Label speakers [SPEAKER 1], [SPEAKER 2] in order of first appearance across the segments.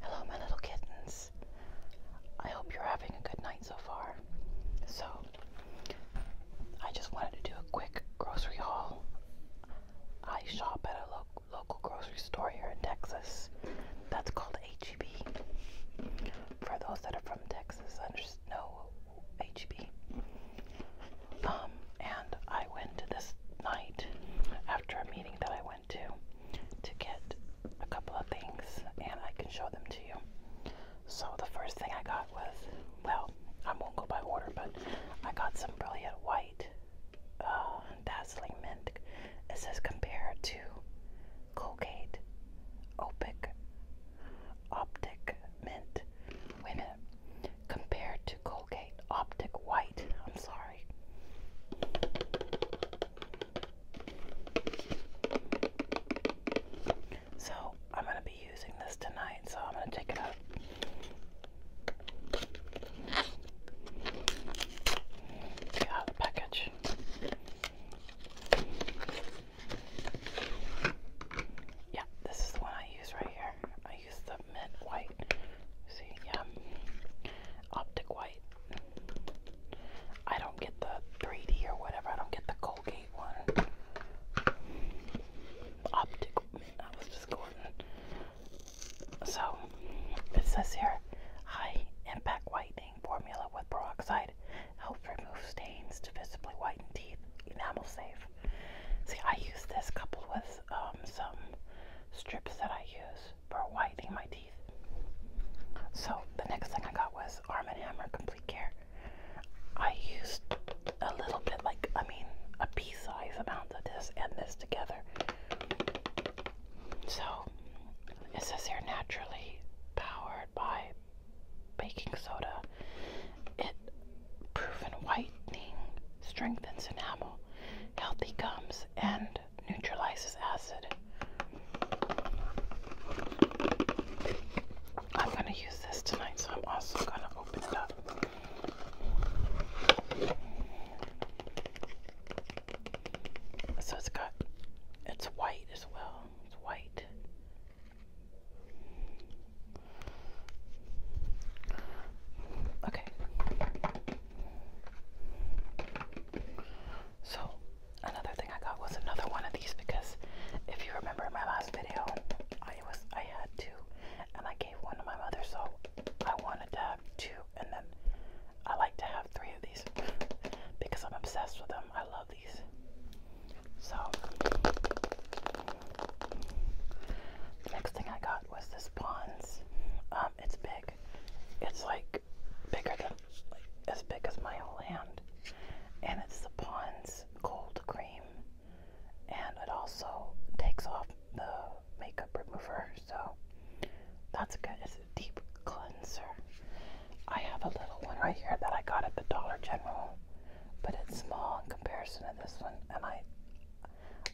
[SPEAKER 1] Hello, my little kittens. I hope you're having a good night so far. So, I just wanted to do a quick grocery haul. I shop at a local grocery store here in Texas that's called HEB. For those that are from Texas, know HEB. Um, and I went to this night after a meeting that I went to to get a couple of things and I can show them to you. So the first thing I got was, well, I won't go by order, but I got some Brilliant White uh, Dazzling Mint. It says compared to Colgate Opic Optic Mint. Wait Compared to Colgate Optic White. I'm sorry. So, I'm going to be using this tonight, so I'm going to take it out of the package. Yeah, this is the one I use right here. I use the that white. See, yeah. Optic white. I don't get the 3D or whatever. I don't get the Colgate one. Optic I was just going. So, it says here high impact whitening formula with peroxide helps remove stains to visibly whiten teeth. Enamel safe. See, I use this coupled with um, some strips that I use for whitening my teeth. So the next thing I got was Arm & Hammer Complete Care. I used a little bit, like, I mean, a pea size amount of this and this together. So it says here naturally powered by baking soda. It proven whitening strengthens enamel, healthy gums, and neutralizes acid. I'm going to use this tonight, so I'm also going to open it up. So it's got, it's white as well. It's white. Okay. So, another thing I got was another one of these because if you remember in my last video, I was I had two and I gave one to my mother, so I wanted to have two and then I like to have three of these because I'm obsessed with them. I love these. So, next thing I got was this Pond's. Um, it's big. It's like bigger than, as big as my whole hand. And it's the Pond's cold cream. And it also takes off the makeup remover. So that's good. It's a deep cleanser. I have a little one right here that I got at the Dollar General. But it's small in comparison to this one. And I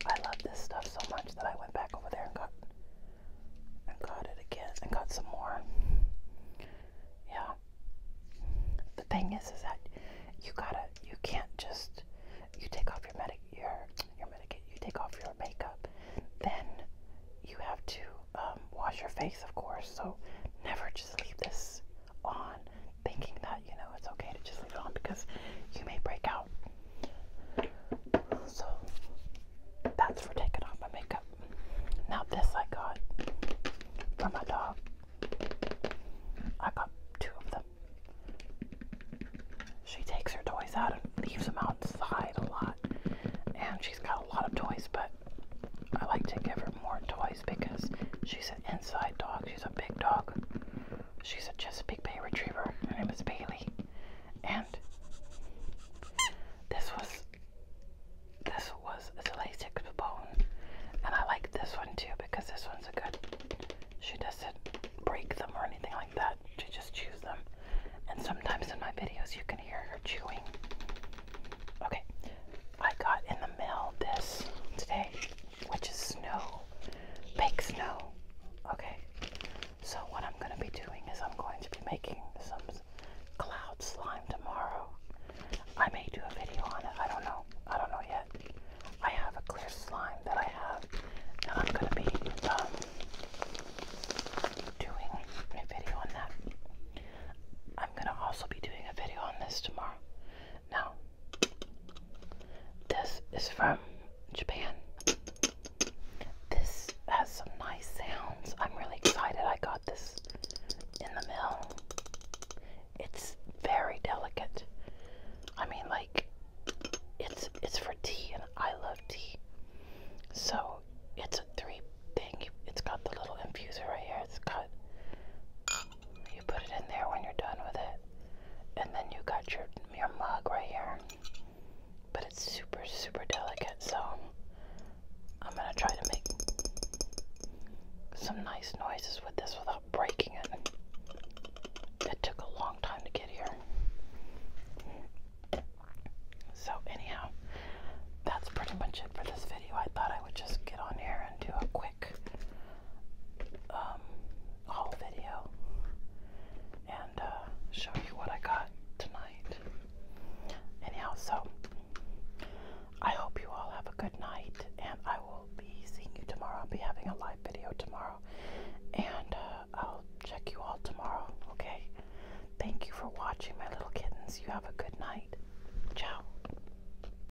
[SPEAKER 1] I love this stuff so much that I went back over there and got and got it again and got some more. Yeah. The thing is, is that you gotta, you can't just, you take off your medic, your your medic, you take off your makeup, then you have to um, wash your face, of course. So never just leave this on thinking that, you know, it's okay to just leave it on because you may break out. So that's for taking off my makeup. Now, this I got for my dog. I got two of them. She takes her toys out and leaves them outside a lot. And she's got a lot of toys, but I like to give her more toys because she's an inside dog. She's a big dog. She's a Chesapeake Bay Retriever. Her name is Bailey. And this was this was a LASIK bone. And I like this one too because this one's a good she doesn't break them or anything like that. She just chews them. And sometimes in my videos you can hear her chewing. Okay. I got in the mail this today which is snow, big snow. Okay, so what I'm going to be doing is I'm going to be making some cloud slime tomorrow. I may do a video on it, I don't know. I don't know yet. I have a clear slime that I have and I'm going to be um, doing a video on that. I'm going to also be doing a video on this tomorrow. Now, this is from Japan. This has some nice sounds. I'm really excited I got this in the mail. It's very delicate. I mean like it's it's for tea and I love tea. So it's a three thing. It's got the little infuser right here. It's got you put it in there when you're done with it. And then you got your your mug right here. But it's super super delicate, so I'm gonna try to make some nice noises with this without breaking it. It took a long time to get here. So anyhow, that's pretty much it for this video. I thought I would just get on here and do a quick um, haul video and uh, show you what I got tonight. Anyhow, so I hope you all have a good night, and I will be seeing you tomorrow. I'll be having a live video tomorrow, and uh, I'll check you all tomorrow, okay? Thank you for watching, my little kittens. You have a good night. Ciao.